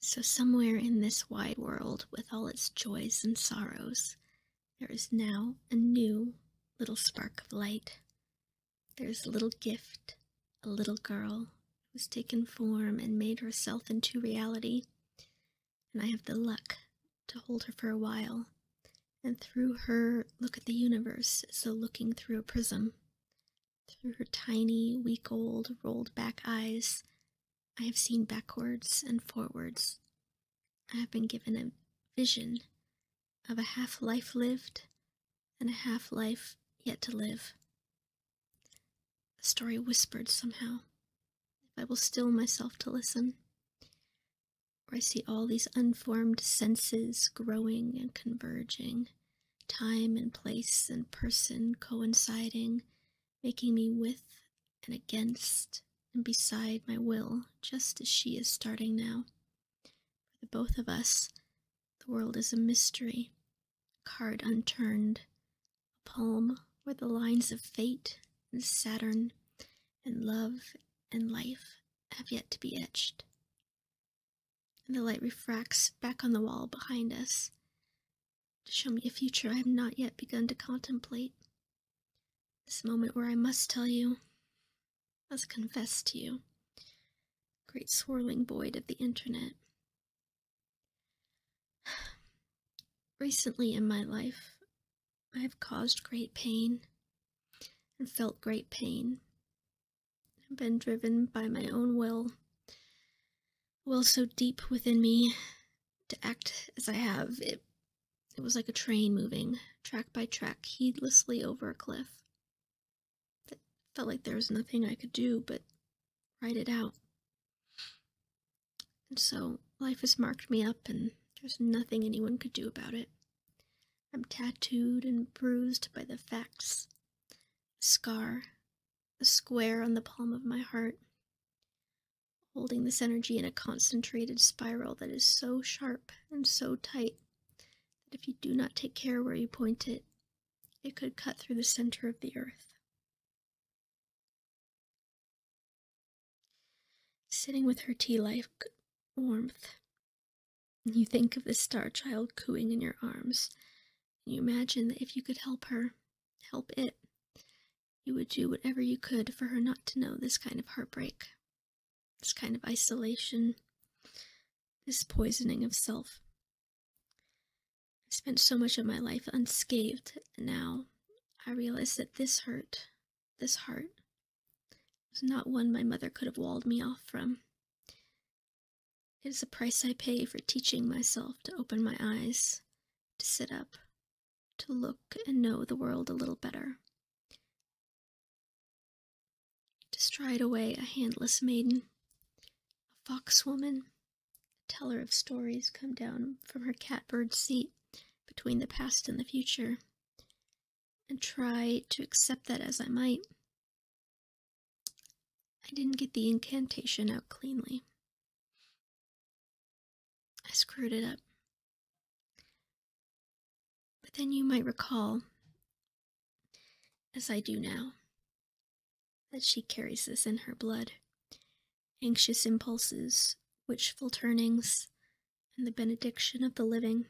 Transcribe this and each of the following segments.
So, somewhere in this wide world, with all its joys and sorrows, there is now a new little spark of light. There's a little gift, a little girl who's taken form and made herself into reality. And I have the luck to hold her for a while, and through her, look at the universe so looking through a prism. Through her tiny, week old, rolled back eyes, I have seen backwards and forwards. I have been given a vision of a half life lived and a half life yet to live. A story whispered somehow, if I will still myself to listen. Or I see all these un Formed senses growing and converging, time and place and person coinciding, making me with and against and beside my will, just as she is starting now. For the both of us, the world is a mystery, a card unturned, a poem where the lines of fate and Saturn and love and life have yet to be etched and the light refracts back on the wall behind us to show me a future I have not yet begun to contemplate. This moment where I must tell you, must confess to you, great swirling void of the internet. Recently in my life, I have caused great pain and felt great pain. I've been driven by my own will, will so deep within me to act as I have. It, was like a train moving, track by track, heedlessly over a cliff. It felt like there was nothing I could do but write it out. And so life has marked me up, and there's nothing anyone could do about it. I'm tattooed and bruised by the facts. A scar, a square on the palm of my heart, holding this energy in a concentrated spiral that is so sharp and so tight that if you do not take care where you point it, it could cut through the center of the earth. Sitting with her tea like warmth, and you think of this star child cooing in your arms, and you imagine that if you could help her, help it, you would do whatever you could for her not to know this kind of heartbreak, this kind of isolation, this poisoning of self. I spent so much of my life unscathed, and now I realize that this hurt, this heart, it was not one my mother could have walled me off from. It is the price I pay for teaching myself to open my eyes, to sit up, to look and know the world a little better. To stride away a handless maiden, a fox woman, teller of stories come down from her catbird seat between the past and the future, and try to accept that as I might. I didn't get the incantation out cleanly. I screwed it up. But then you might recall, as I do now, that she carries this in her blood. Anxious impulses, wishful turnings, and the benediction of the living,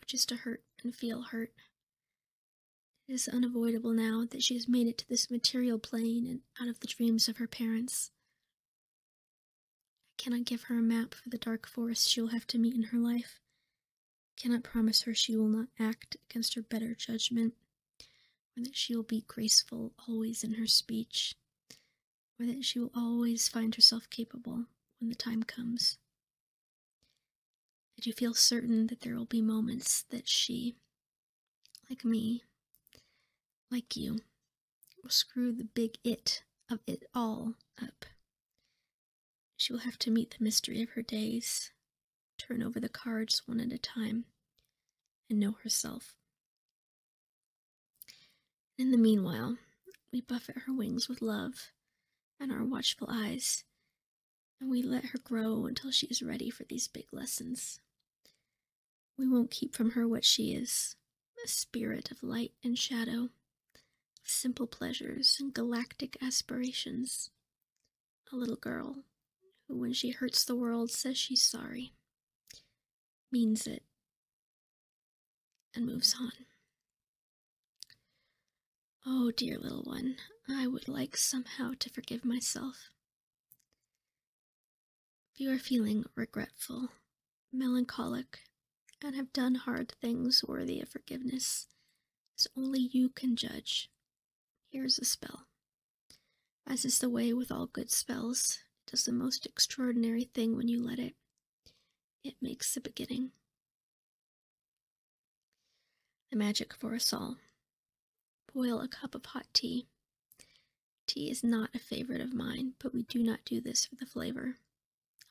which is to hurt and feel hurt. It is unavoidable now that she has made it to this material plane and out of the dreams of her parents. I cannot give her a map for the dark forest she will have to meet in her life. I cannot promise her she will not act against her better judgment, or that she will be graceful always in her speech or that she will always find herself capable when the time comes. That you feel certain that there will be moments that she, like me, like you, will screw the big it of it all up. She will have to meet the mystery of her days, turn over the cards one at a time, and know herself in the meanwhile, we buffet her wings with love and our watchful eyes, and we let her grow until she is ready for these big lessons. We won't keep from her what she is a spirit of light and shadow, simple pleasures and galactic aspirations, a little girl who, when she hurts the world, says she's sorry, means it, and moves on. Oh, dear little one, I would like somehow to forgive myself. If you are feeling regretful, melancholic, and have done hard things worthy of forgiveness, as only you can judge, here is a spell. As is the way with all good spells, it does the most extraordinary thing when you let it. It makes the beginning. The magic for us all. Boil a cup of hot tea. Tea is not a favorite of mine, but we do not do this for the flavor.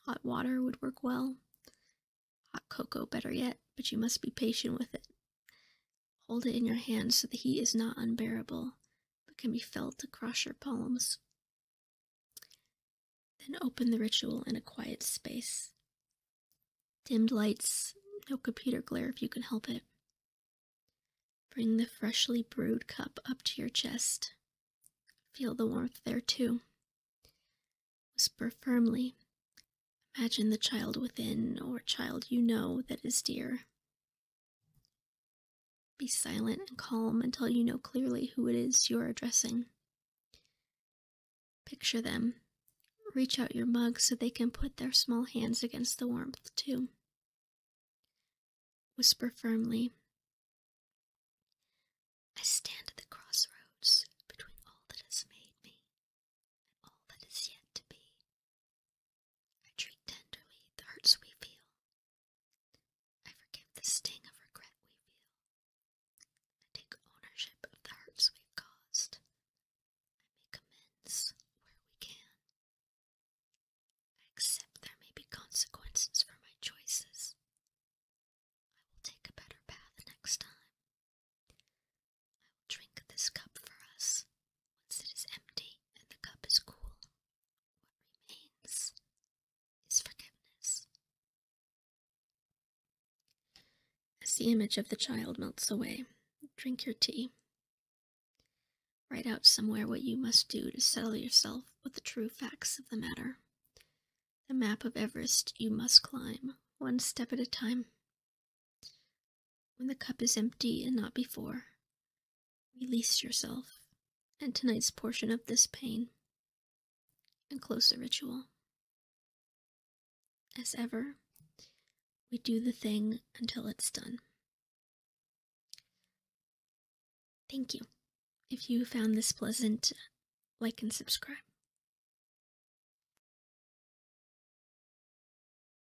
Hot water would work well. Hot cocoa, better yet, but you must be patient with it. Hold it in your hand so the heat is not unbearable, but can be felt across your palms. Then open the ritual in a quiet space. Dimmed lights, no computer glare if you can help it. Bring the freshly brewed cup up to your chest. Feel the warmth there too. Whisper firmly. Imagine the child within or child you know that is dear. Be silent and calm until you know clearly who it is you are addressing. Picture them. Reach out your mug so they can put their small hands against the warmth, too. Whisper firmly. I stand at the crossroads between all that has made me and all that is yet to be. I treat tenderly the hurts we feel. I forgive the sting of regret we feel. I take ownership of the hurts we've caused. I make amends where we can. I accept there may be consequences for my choices. I will take a better path next time. I will drink this cup for us once it is empty and the cup is cool, what remains is forgiveness. As the image of the child melts away, drink your tea. Write out somewhere what you must do to settle yourself with the true facts of the matter. The map of Everest you must climb, one step at a time. When the cup is empty and not before, Release yourself and tonight's portion of this pain and close the ritual. As ever, we do the thing until it's done. Thank you. If you found this pleasant, like and subscribe.